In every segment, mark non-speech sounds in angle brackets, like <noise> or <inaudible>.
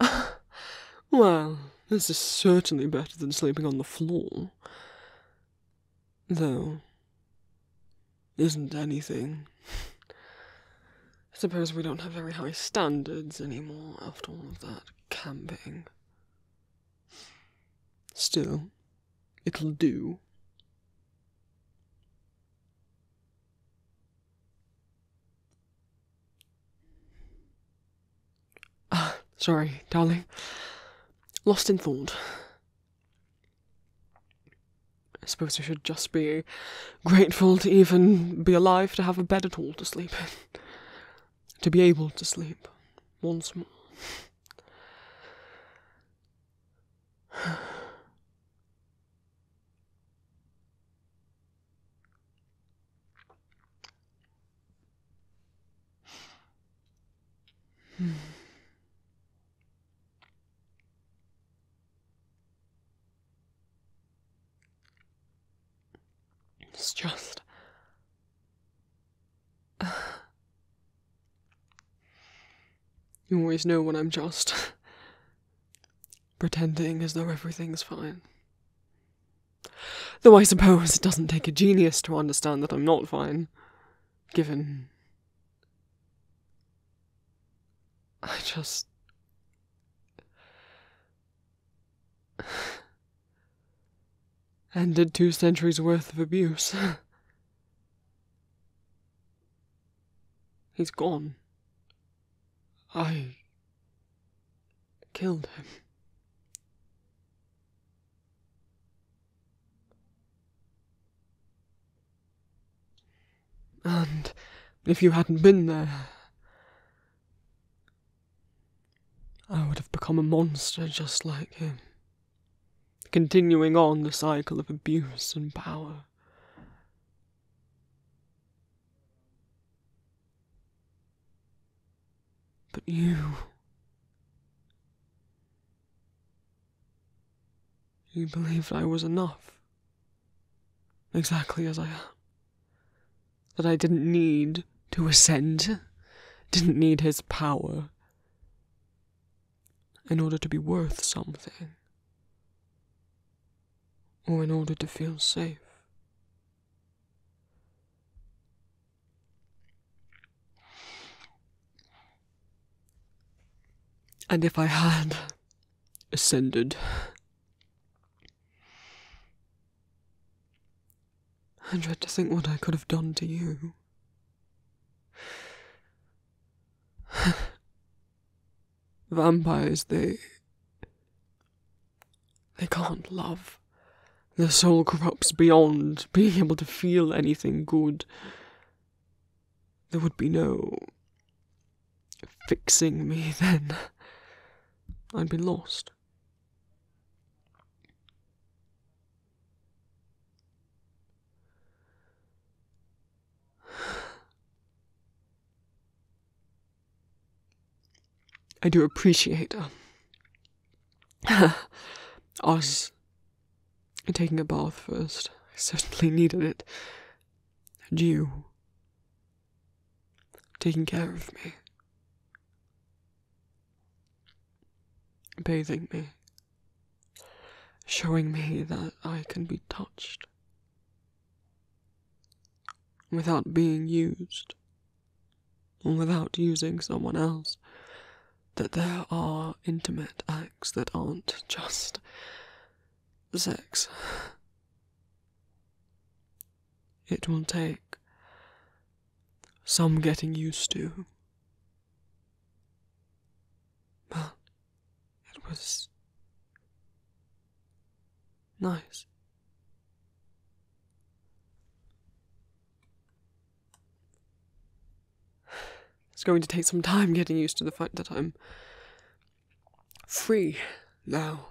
<laughs> "Well, this is certainly better than sleeping on the floor. Though — isn't anything. I <laughs> suppose we don't have very high standards anymore after all of that camping. Still, it'll do." Uh, <sighs> sorry, darling. Lost in thought. I suppose I should just be grateful to even be alive to have a bed at all to sleep To be able to sleep once more. <sighs> <sighs> It's just. <sighs> you always know when I'm just pretending as though everything's fine. Though I suppose it doesn't take a genius to understand that I'm not fine, given. I just. ended two centuries worth of abuse. He's gone. I killed him. And if you hadn't been there, I would have become a monster just like him, continuing on the cycle of abuse and power. But you. You believed I was enough. Exactly as I am. That I didn't need to ascend, didn't need his power in order to be worth something, or in order to feel safe. And if I had ascended, I dread to think what I could have done to you. Vampires, they. they can't love. Their soul corrupts beyond being able to feel anything good. There would be no. fixing me <laughs> then. I'd be lost. I do appreciate uh, <laughs> us taking a bath first. I certainly needed it. And you taking care of me, bathing me, showing me that I can be touched without being used or without using someone else, that there are intimate acts that aren't just sex. It will take some getting used to. But it was Nice. It's going to take some time getting used to the fact that I'm free now.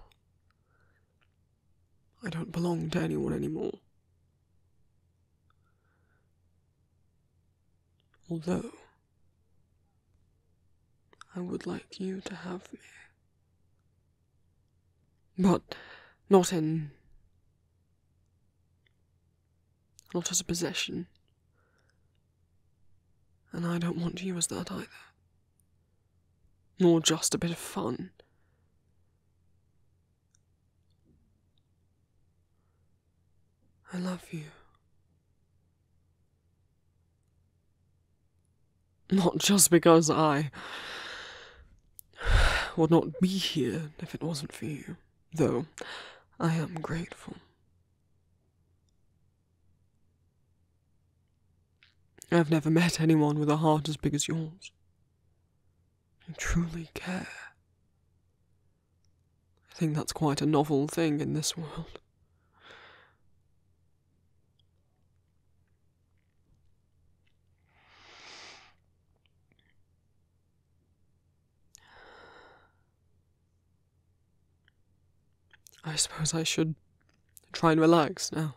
I don't belong to anyone anymore. Although, I would like you to have me but not in. Not as a possession. And I don't want you as that either. Nor just a bit of fun. I love you. Not just because I would not be here if it wasn't for you, though I am grateful. I've never met anyone with a heart as big as yours. You truly care. I think that's quite a novel thing in this world. I suppose I should try and relax now.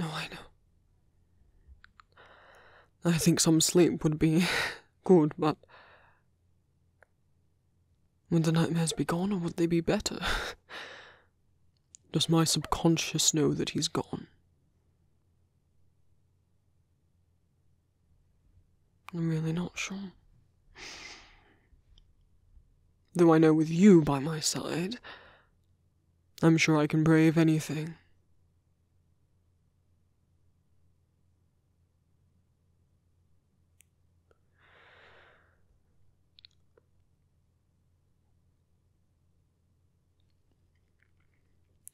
oh, I know. I think some sleep would be <laughs> good, but would the nightmares be gone, or would they be better? <laughs> Does my subconscious know that he's gone? I'm really not sure. <sighs> Though I know with you by my side, I'm sure I can brave anything.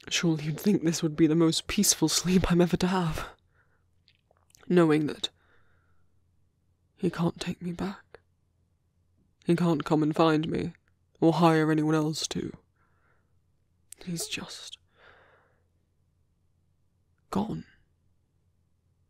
Surely you'd think this would be the most peaceful sleep I'm ever to have, knowing that he can't take me back. He can't come and find me, or hire anyone else to. He's just gone.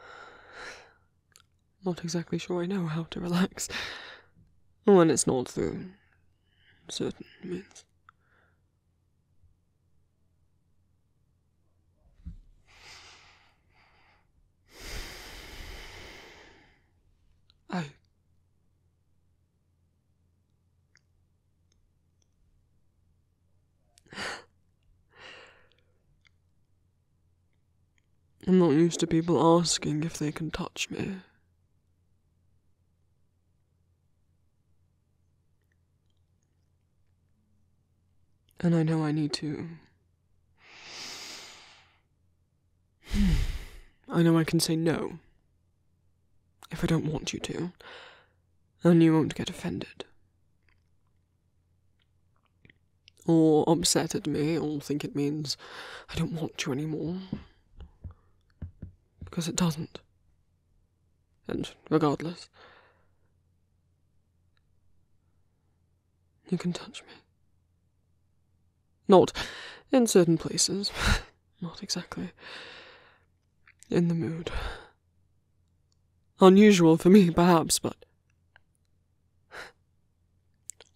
<sighs> Not exactly sure I know how to relax when it's not through certain means. I oh. I'm not used to people asking if they can touch me. And I know I need to. <sighs> I know I can say no. If I don't want you to and you won't get offended. Or upset at me, or think it means I don't want you anymore. Because it doesn't. And regardless, you can touch me. Not in certain places, <laughs> not exactly in the mood. Unusual for me, perhaps, but.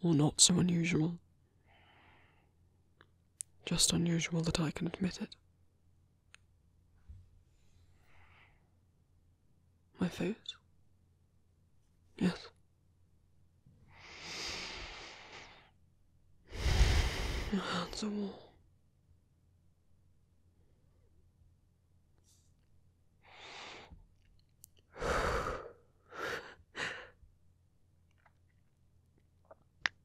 or not so unusual. Just unusual that I can admit it. My face? Yes. Your hands are warm. <sighs> I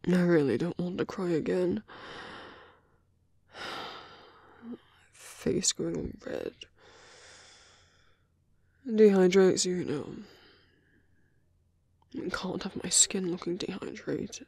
really don't want to cry again. <sighs> face going red. Dehydrated, you, you know. I can't have my skin looking dehydrated.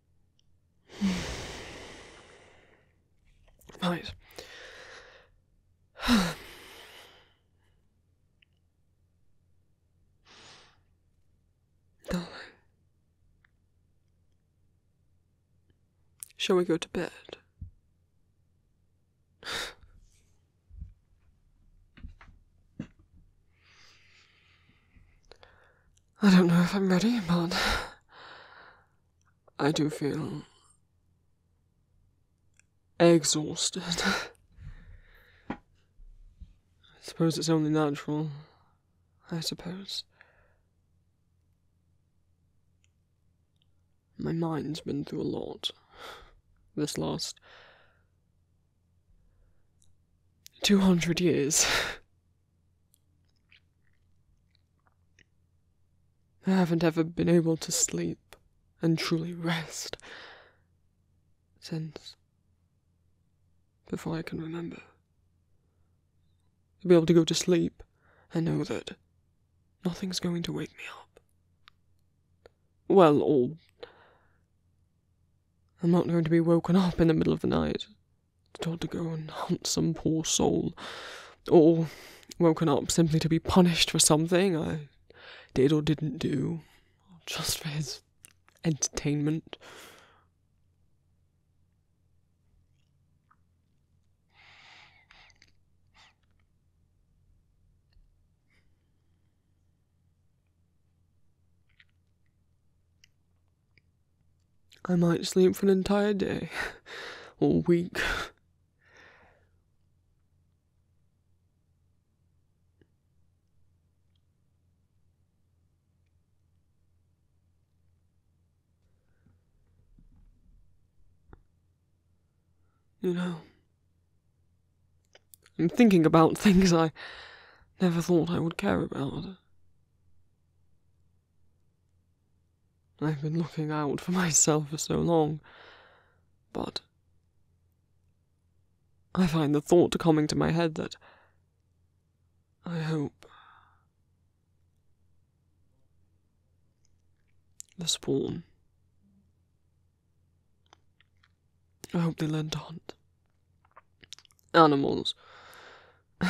nice. <sighs> Darling. Shall we go to bed? I don't know if I'm ready, but I do feel exhausted. I suppose it's only natural. I suppose. My mind's been through a lot this last 200 years. I haven't ever been able to sleep and truly rest since before I can remember. To be able to go to sleep and know that nothing's going to wake me up. Well, all. I'm not going to be woken up in the middle of the night told to go and hunt some poor soul, or woken up simply to be punished for something I did or didn't do, just for his entertainment. I might sleep for an entire day <laughs> or week. You know, I'm thinking about <laughs> things I never thought I would care about. I've been looking out for myself for so long, but I find the thought coming to my head that I hope the spawn. I hope they learn to hunt animals. <laughs>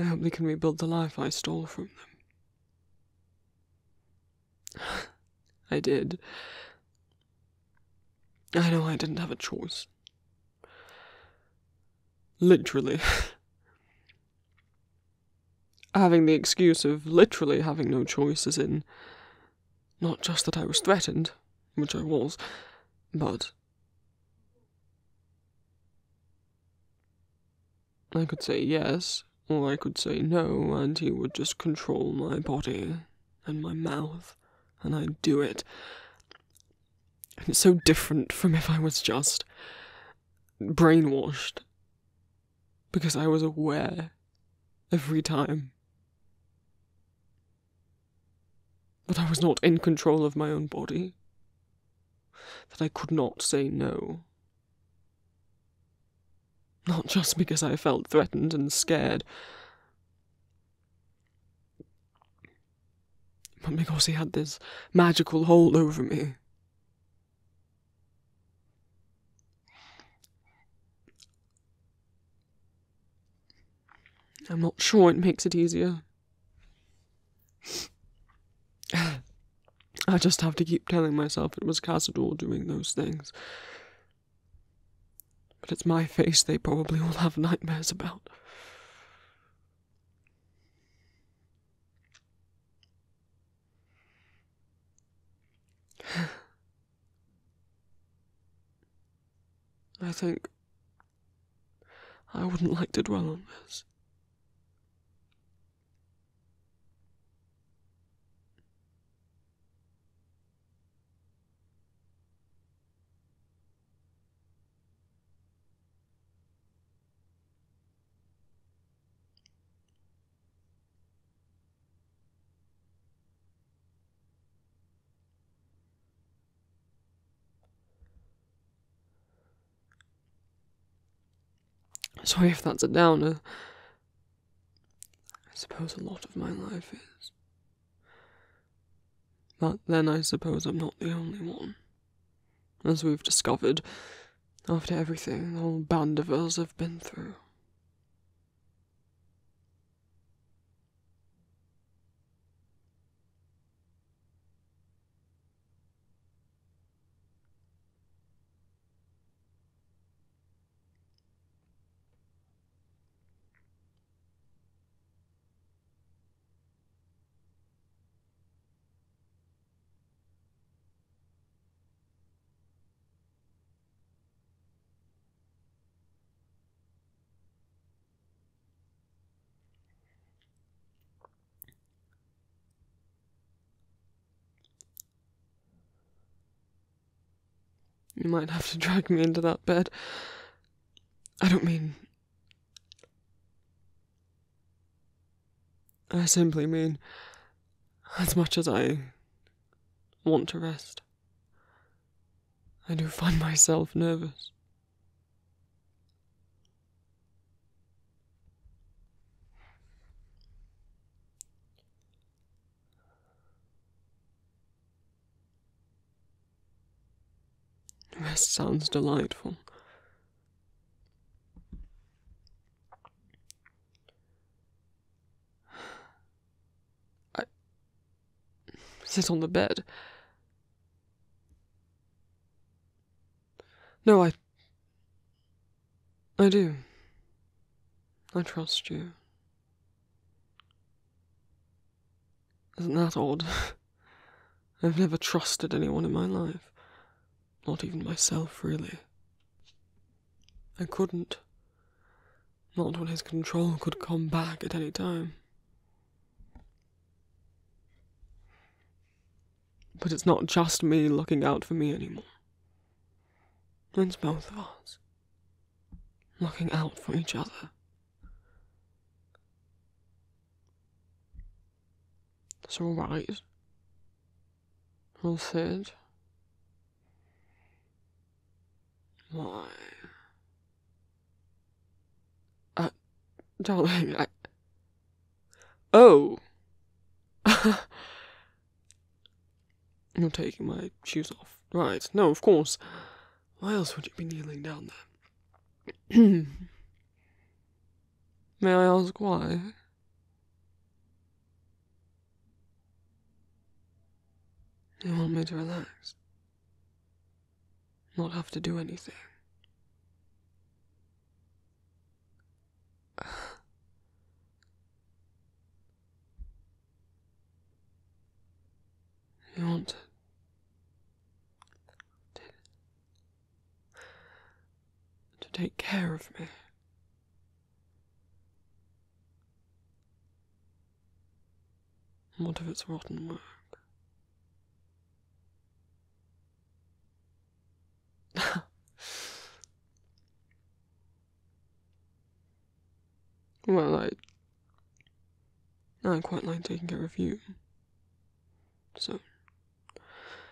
I hope they can rebuild the life I stole from them. <sighs> I did. I know I didn't have a choice. Literally. <laughs> Having the excuse of literally having no choice, as in, not just that I was threatened, which I was, but. I could say yes, or I could say no, and he would just control my body and my mouth, and I'd do it. And it's so different from if I was just brainwashed because I was aware every time that I was not in control of my own body, that I could not say no. Not just because I felt threatened and scared, but because he had this magical hold over me. I'm not sure it makes it easier. I just have to keep telling myself it was Casador doing those things. But it's my face they probably all have nightmares about. <sighs> I think I wouldn't like to dwell on this. Sorry if that's a downer. I suppose a lot of my life is. But then I suppose I'm not the only one as we've discovered, after everything the whole band of us have been through. You might have to drag me into that bed. I don't mean. I simply mean, as much as I want to rest, I do find myself nervous. Rest sounds delightful. I sit on the bed. No, I. I do. I trust you. Isn't that odd? <laughs> I've never trusted anyone in my life not even myself, really. I couldn't. Not when his control could come back at any time. But it's not just me looking out for me anymore. It's both of us. Looking out for each other. That's alright. I said. Why? Uh, darling, <laughs> I. Oh! <laughs> You're taking my shoes off. Right, no, of course. Why else would you be kneeling down there? <clears throat> May I ask why? You want me to relax? Not have to do anything. <sighs> You want to, to, take care of me. What if it's rotten work? <laughs> well, I. I quite like taking care of you. So.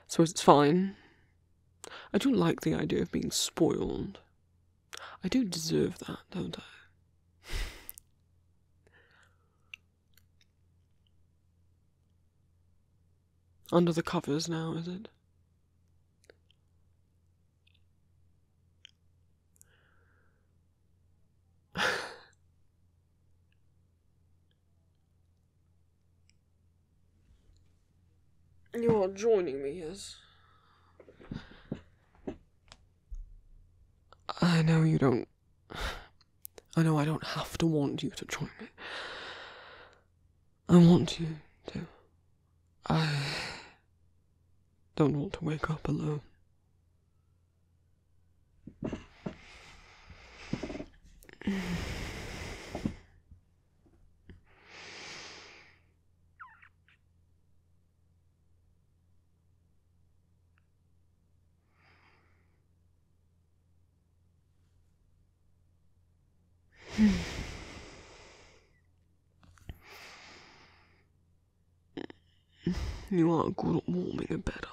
so suppose it's fine I don't like the idea of being spoiled. I do deserve that, don't I? <laughs> Under the covers now, is it? <laughs> You are joining me, yes? I know you don't. I know I don't have to want you to join me. I want you to. I don't want to wake up alone. <sighs> You aren't good at warming a bed up.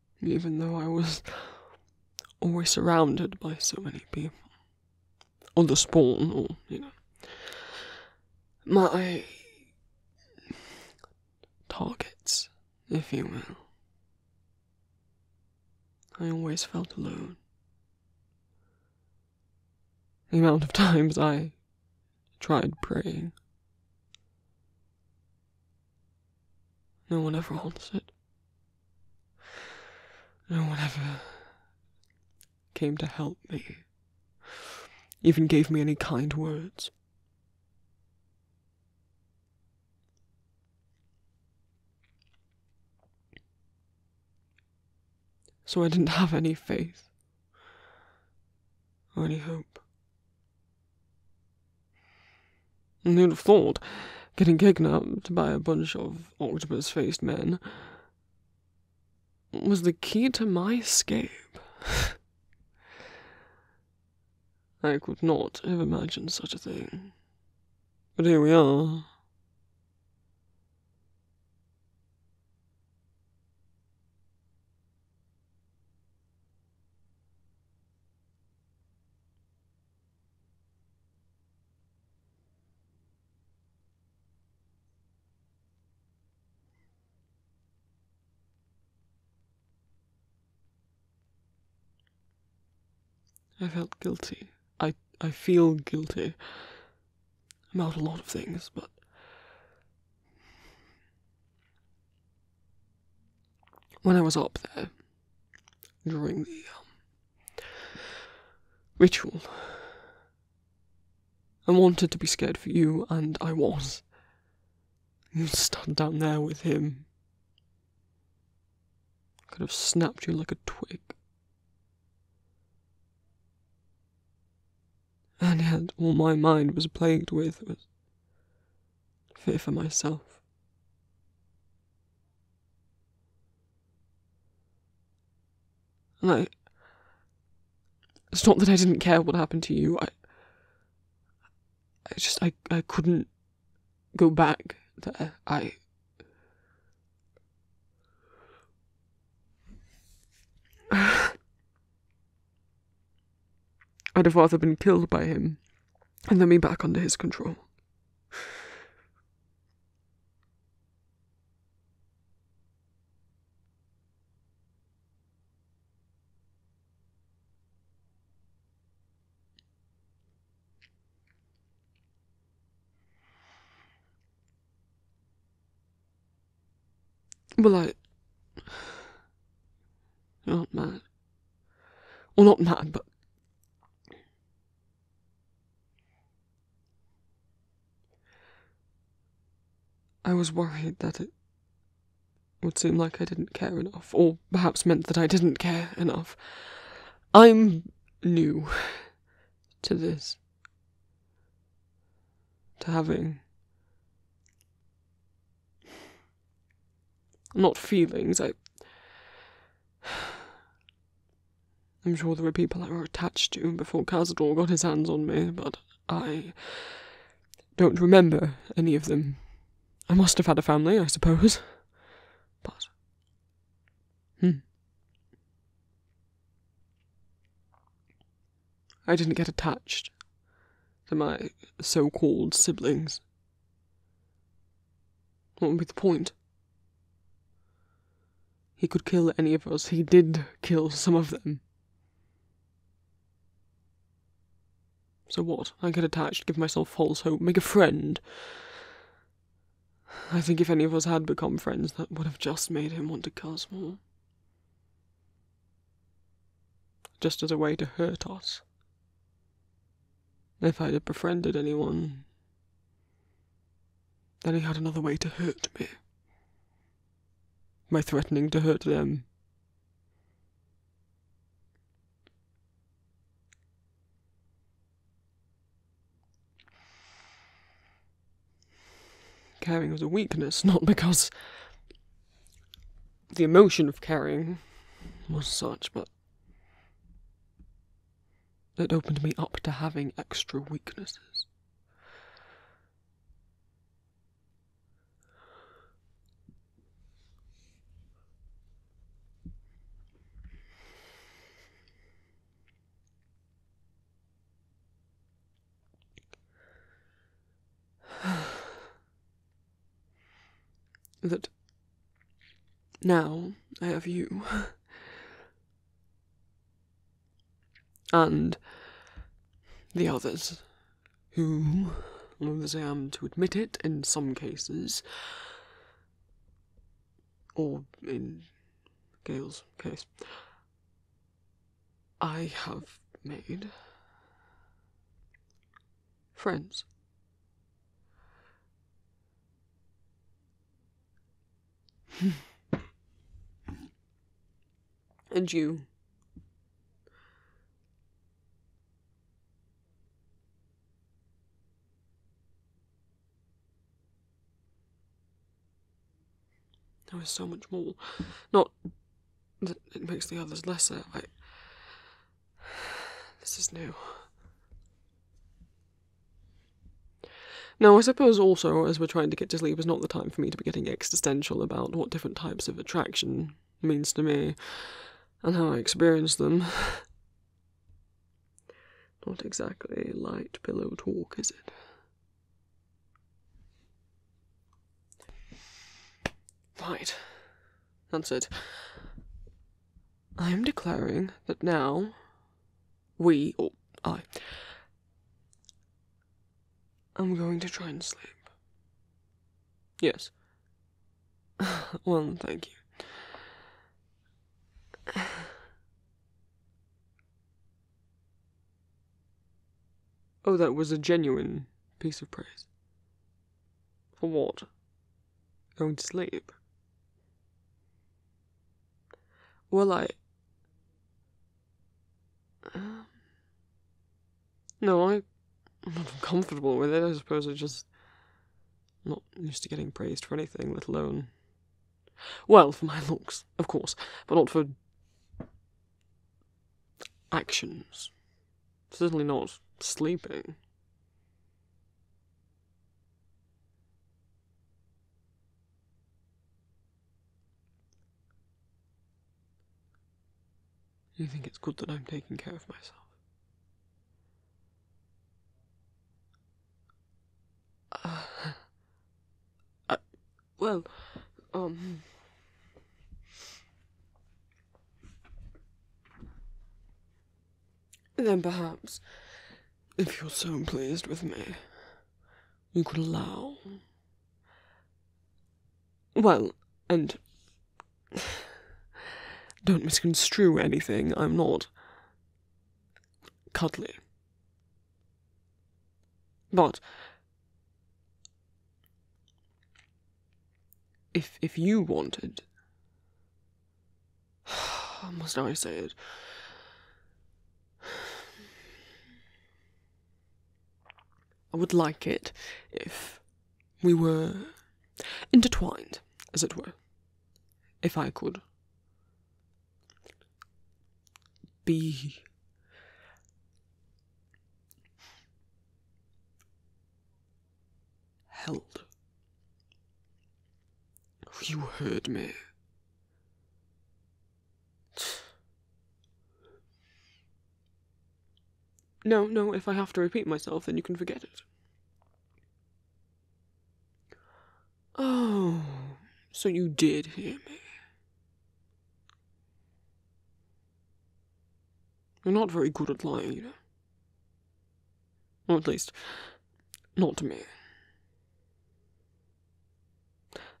even though I was always surrounded by so many people. Or the spawn, or, you know. My targets, if you will. I always felt alone. The amount of <laughs> times I tried praying. No one ever wants it. No one ever came to help me, even gave me any kind words. So I didn't have any faith or any hope. Who'd have thought getting kidnapped by a bunch of octopus faced men was the key to my escape? <laughs> I could not have imagined such a thing. But here we are. I felt guilty. I I feel guilty about a lot of things, but when I was up there during the um, ritual, I wanted to be scared for you, and I was. You stand down there with him. Could have snapped you like a twig. And yet all my mind was plagued with fear for myself. And I. It's not that I didn't care what happened to you. I. I just. I, I couldn't go back there. I. <sighs> I'd have rather been killed by him and then be back under his control. Well, I aren't <sighs> mad. Well, not mad, but. I was worried that it would seem like I didn't care enough, or perhaps meant that I didn't care enough. I'm new to this, to having not feelings, I. am <sighs> sure there were people I were attached to before Cazador got his hands on me, but I don't remember any of them. I must have had a family, I suppose. But. Hmm. I didn't get attached to my so called siblings. What would be the point? He could kill any of us. He did kill some of them. So what? I get attached, give myself false hope, make a friend. I think if any of us had become friends, that would have just made him want to kill us more. Just as a way to hurt us. If I'd befriended anyone, then he had another way to hurt me. My threatening to hurt them. caring was a weakness, not because the emotion of caring was such, but it opened me up to having extra weaknesses. That now I have you. and the others, who, loath as I am to admit it in some cases, or in Gail's case, I have made friends and you. there was so much more. Not that it makes the others lesser. I <sighs> This is new. Now, I suppose also, as we're trying to get to sleep, is not the time for me to be getting existential about what different types of attraction means to me and how I experience them. <sighs> Not exactly light pillow talk, is it? Right. That's it. I am declaring that now we or I am going to try and sleep. Yes. <laughs> well, thank you. <sighs> Oh, that was a genuine piece of praise. For what? Going to sleep? Well, I. Um, no, I, am not <laughs> comfortable with it. I suppose I am just. not used to getting praised for anything, let alone. Well, for my looks, of course, but not for. actions. Certainly not sleeping. You think it's good that I'm taking care of myself? Uh, <laughs> uh well, um. Then perhaps, if you're so pleased with me, you could allow. Well, and. Don't misconstrue anything, I'm not. cuddly. But. If, if you wanted I must always say it. I would like it if we were intertwined, as it were. If I could be held. You heard me. No, no, if I have to repeat myself, then you can forget it. Oh, so you did hear me. You're not very good at lying, you know. Or at least, not to me.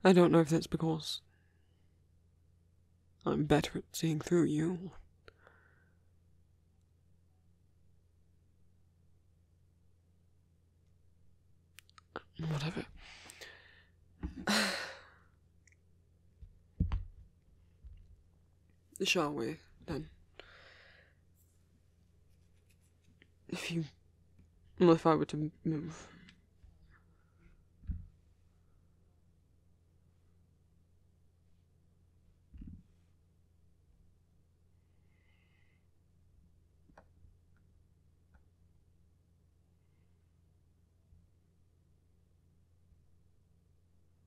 I don't know if that's because I'm better at seeing through you. Whatever shall we, then? If you. Well, if I were to move.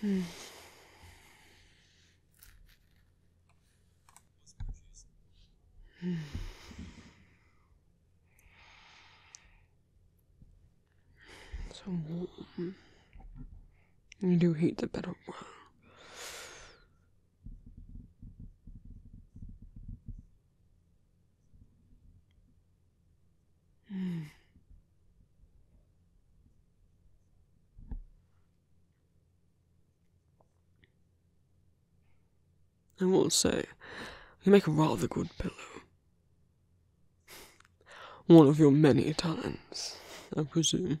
Hmm. <sighs> Hmm. So warm. I do hate the bed of I will not say, you make a rather good pillow. <sighs> One of your many talents, I presume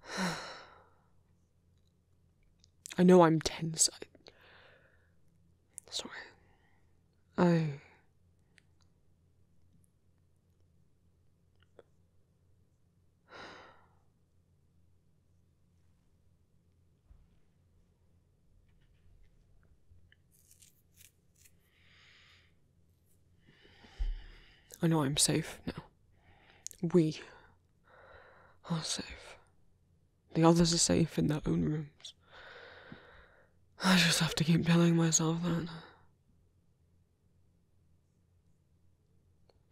<sighs> I know I'm tense. I... Sorry. I. I know I'm safe now. We are safe. The others are safe in their own rooms. I just have to keep telling myself that.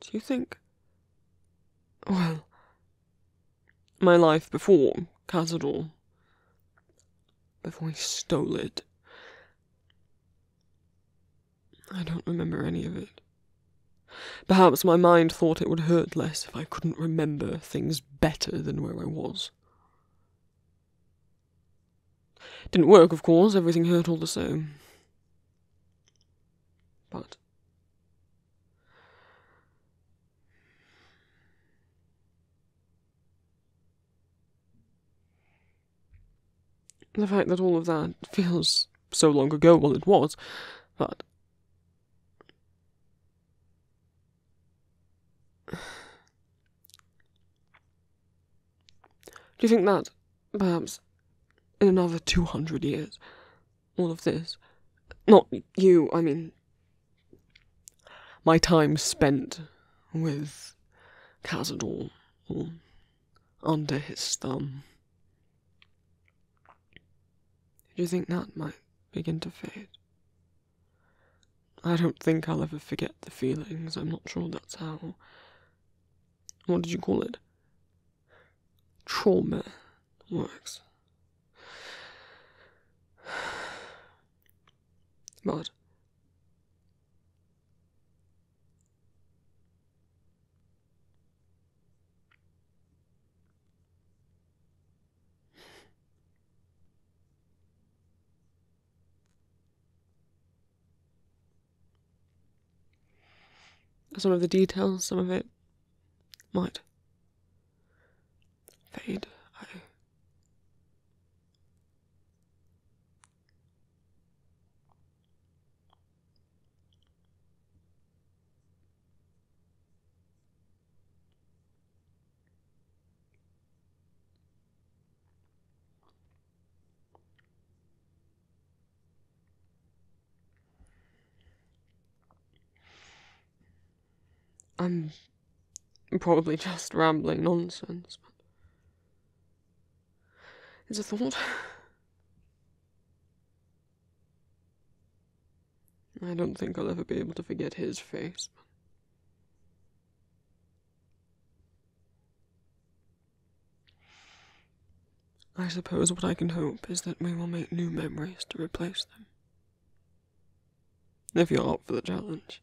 Do you think. Well, my life before Cazador, before he stole it, I don't remember any of it. Perhaps my mind thought it would hurt less if I couldn't remember things better than where I was. Didn't work, of course, everything hurt all the same. But. The fact that all of that feels so long ago, well, it was, but. <sighs> Do you think that, perhaps, in another 200 years, all of this, not you, I mean, my time spent with Cazador, or under his thumb. Did you think that might begin to fade? I don't think I'll ever forget the feelings. I'm not sure that's how. What did you call it? Trauma works. <sighs> But some of the details, some of it might fade. I I'm probably just rambling nonsense, is a thought. I don't think I'll ever be able to forget his face. I suppose what I can hope is that we will make new memories to replace them. If you're up for the challenge.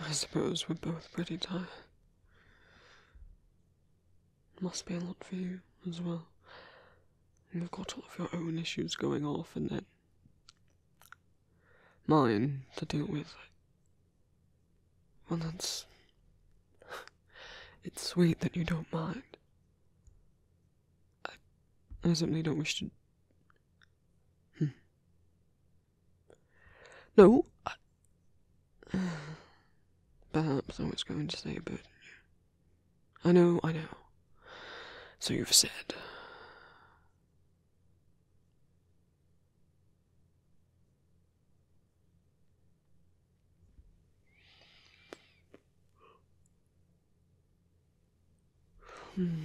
I suppose we're both pretty tired. It must be a lot for you as well. You've got all of your own issues going off and then mine to deal with. Well, that's. <laughs> It's sweet that you don't mind. I, I simply don't wish to. Hmm, no, <sighs> Perhaps I was going to say a burden. I know, I know. So you've said. Hmm.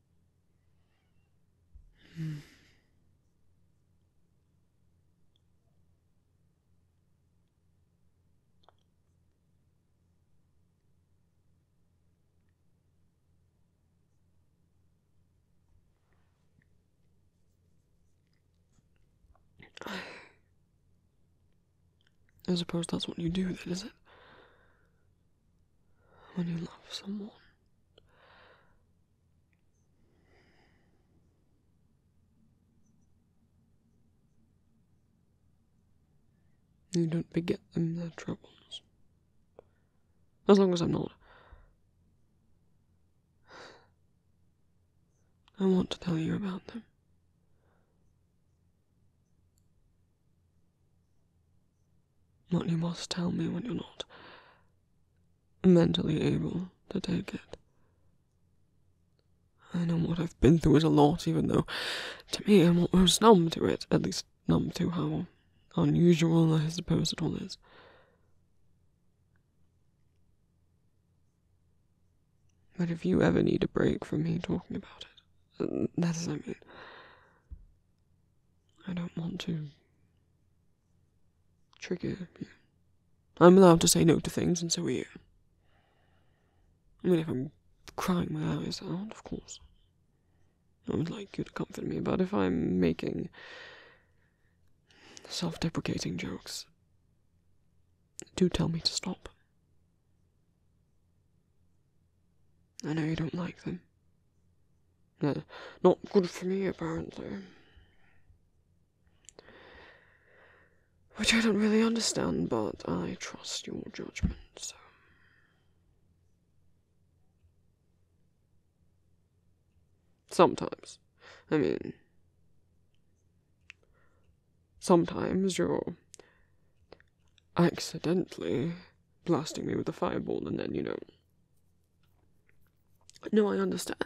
I suppose that's what you do then, is not it? when you love someone. You don't beget them their troubles. As long as I'm not. I want to tell you about them. But you must tell me when you're not mentally able to take it. I know what I've been through is a lot, even though to me I'm almost numb to it, at least numb to how unusual I suppose it all is. But if you ever need a break from me talking about it, that is, I mean, I don't want to trigger you. I'm allowed to say no to things, and so are you. I mean, if I'm crying my eyes out, of course. I would like you to comfort me, but if I'm making self deprecating jokes, do tell me to stop. I know you don't like them. not good for me, apparently. Which I don't really understand, but I trust your judgment, so. Sometimes. I mean, sometimes you're accidentally blasting me with a fireball, and then, you know, no, I understand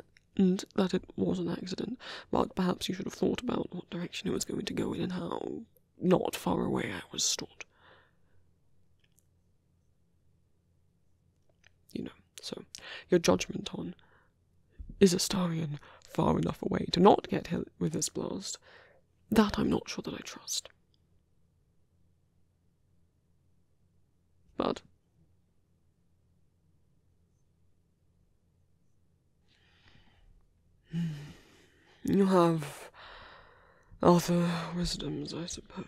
that it was an accident, but perhaps you should have thought about what direction it was going to go in and how not far away I was stored. You know, so your judgment on is Astarian far enough away to not get hit with this blast? That I'm not sure that I trust. But you have other wisdoms, I suppose.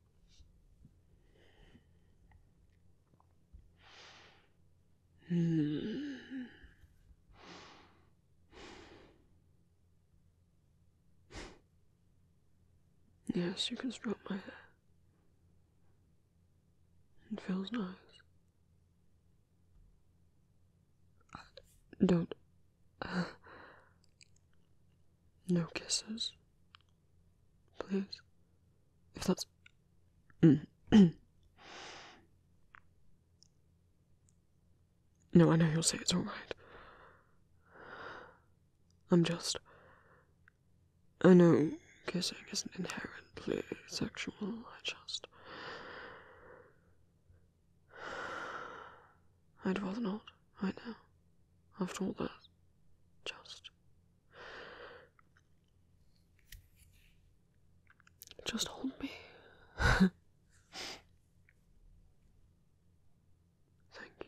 Yes, you can stroke my hair. It feels nice. Don't. No kisses. Please. If that's. <clears throat> no, I know you'll say it's alright. I'm just. I know kissing isn't inherently sexual, I just. I'd rather not, I know after all that. Just. Just hold me. <laughs> Thank you.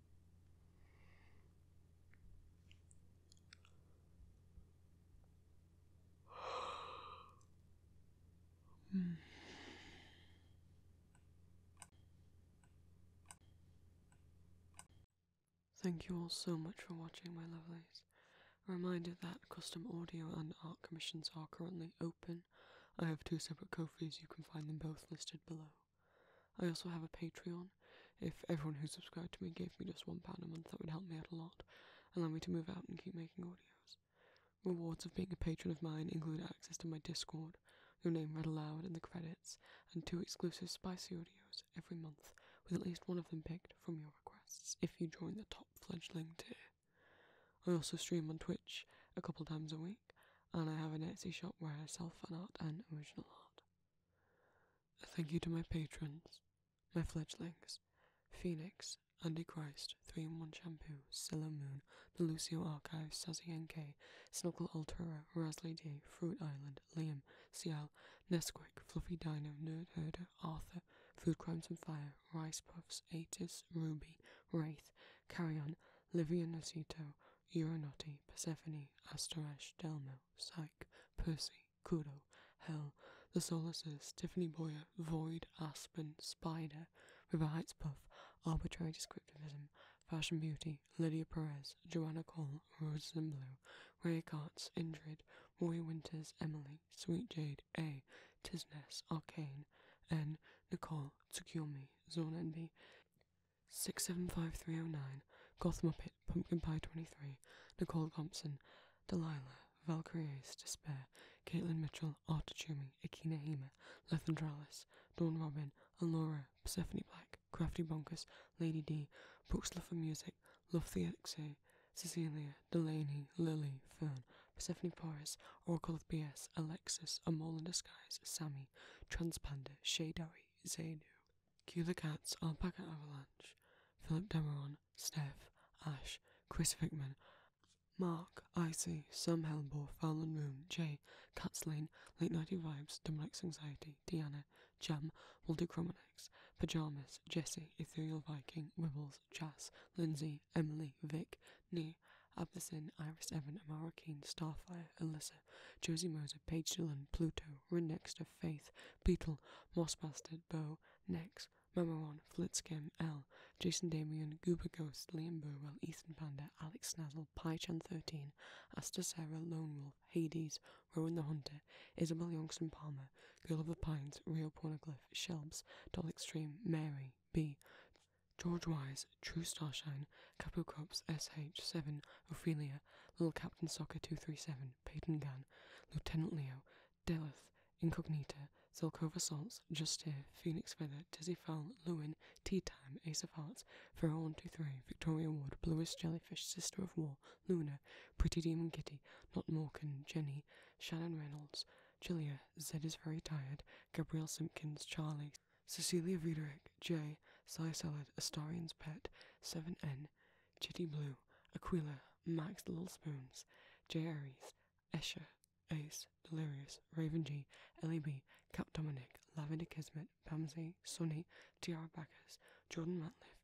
Thank you all so much for watching, my lovelies. A reminder that custom audio and art commissions are currently open. I have two separate coffees. you can find them both listed below. I also have a Patreon. If everyone who subscribed to me gave me just one pound a month, that would help me out a lot, allow me to move out and keep making audios. Rewards of being a patron of mine include access to my Discord, your name read aloud in the credits, and two exclusive spicy audios every month, with at least one of them picked from your requests if you join the top fledgling tier. I also stream on Twitch a couple times a week, and I have an Etsy shop where I sell fan art and original art. A thank you to my patrons, my fledglings, Phoenix, Andy Christ, 3 in 1 Shampoo, Silla Moon, The Lucio Archives, Sassy NK, Snuckle Altura, Rasley D, Fruit Island, Liam, Cial, Nesquik, Fluffy Dino, Nerd Herder, Arthur, Food Crimes and Fire, Rice Puffs, Atis, Ruby, Wraith, Carrion, Livia Nocito, Euronotti, Persephone, Asterash, Delmo, Zero, Psyche, Percy, Kudo, Hell, The Solaces, Tiffany Boyer, Void, Aspen, Spider, River Heights Puff, Arbitrary Descriptivism, Fashion Beauty, Lydia Perez, Joanna Cole, Roses in Blue, Ray Carts, Indrid, Roy Winters, Emily, Sweet Jade, A, Tisness, Arcane, N, Nicole, Tsukiyomi, Zone Envy, 675309, Gotham Pit, Pumpkin Pie 23, Nicole Thompson, Delilah, Valkyrie Despair, Caitlin Mitchell, Arta Chumi, Akina Hema, Lethandralis, Dawn Robin, and Laura, Persephone Black, Crafty Bonkers, Lady D, Brooks Love for Music, Love the XA, Cecilia, Delaney, Lily, Fern, Persephone Porus, Oracle of BS, Alexis, A Mole in Disguise, Sammy, Transpanda, Shadowy, Zaydu, Cue the Cats, Alpaca Avalanche, Philip Demeron, Steph, Ash, Chris Vickman, Mark, Icy, Sam Hellbore, Fallon Moon. Jay, Cats Lane, Late Nighty Vibes, Dominic's Anxiety, Diana. Jam, Walter Chromanex, Pajamas, Jesse, Ethereal Viking, Wibbles, Chas, Lindsay, Emily, Vic, Nee, Abbasin, Iris Evan, Amara Keane, Starfire, Alyssa, Josie Moser, Paige Dillon, Pluto, arrow, Rundext Faith, Beetle, Moss Bastard, Bow, Nex, Mamaron, Flitskim, L, Jason Damian, Goober Ghost, Liam Burwell, Ethan Panda, Alex Snazzle, PyChan13, Asta Sarah, Lone Wolf, Hades, Rowan the Hunter, Isabel Youngson Palmer, Girl of the Pines, Rio Pornoglyph, Shelbs, Doll Extreme, Mary, B, George Wise, True Starshine, Capo Cops, SH7, Ophelia, Little Captain Soccer 237, Peyton Gann, Lieutenant Leo, Delith, Incognita, Zilkov Assaults, Just Here, Phoenix Feather, Tizzy Fowl, Lewin, Tea Time, Ace of Hearts, Pharaoh 123, Victoria Ward, Bluest Jellyfish, Sister of War, Luna, Pretty Demon Kitty, Not Morkan, Jenny, Shannon Reynolds, Julia, Zed is Very Tired, Gabrielle Simpkins, Charlie, Cecilia Viderek, J, Cy Salad, Astarian's Pet, 7N, Chitty Blue, Aquila, Max Little Spoons, J. Escher, Ace, Delirious, Raven G, Ellie B, Cap Dominic, Lavender Kismet, Pamsey, Sunny, Tiara Backers, Jordan Ratliff,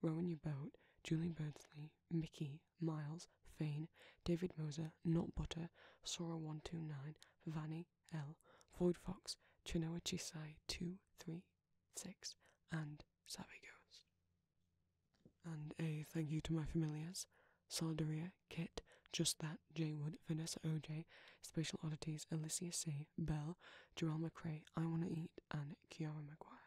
Rowan Your Boat, Julie Birdsley, Mickey, Miles, Fain, David Moser, Not Butter, Sora129, Vanny, L, Void Fox, Chinoachisai 2, 3, six, and Savvy Ghost. And a thank you to my familiars, Sardaria, Kit, Just That, J Wood, Vanessa OJ, Special Oddities, Alycia C, Bell, Jarrell McRae, I Wanna Eat, and Kiara McGuire.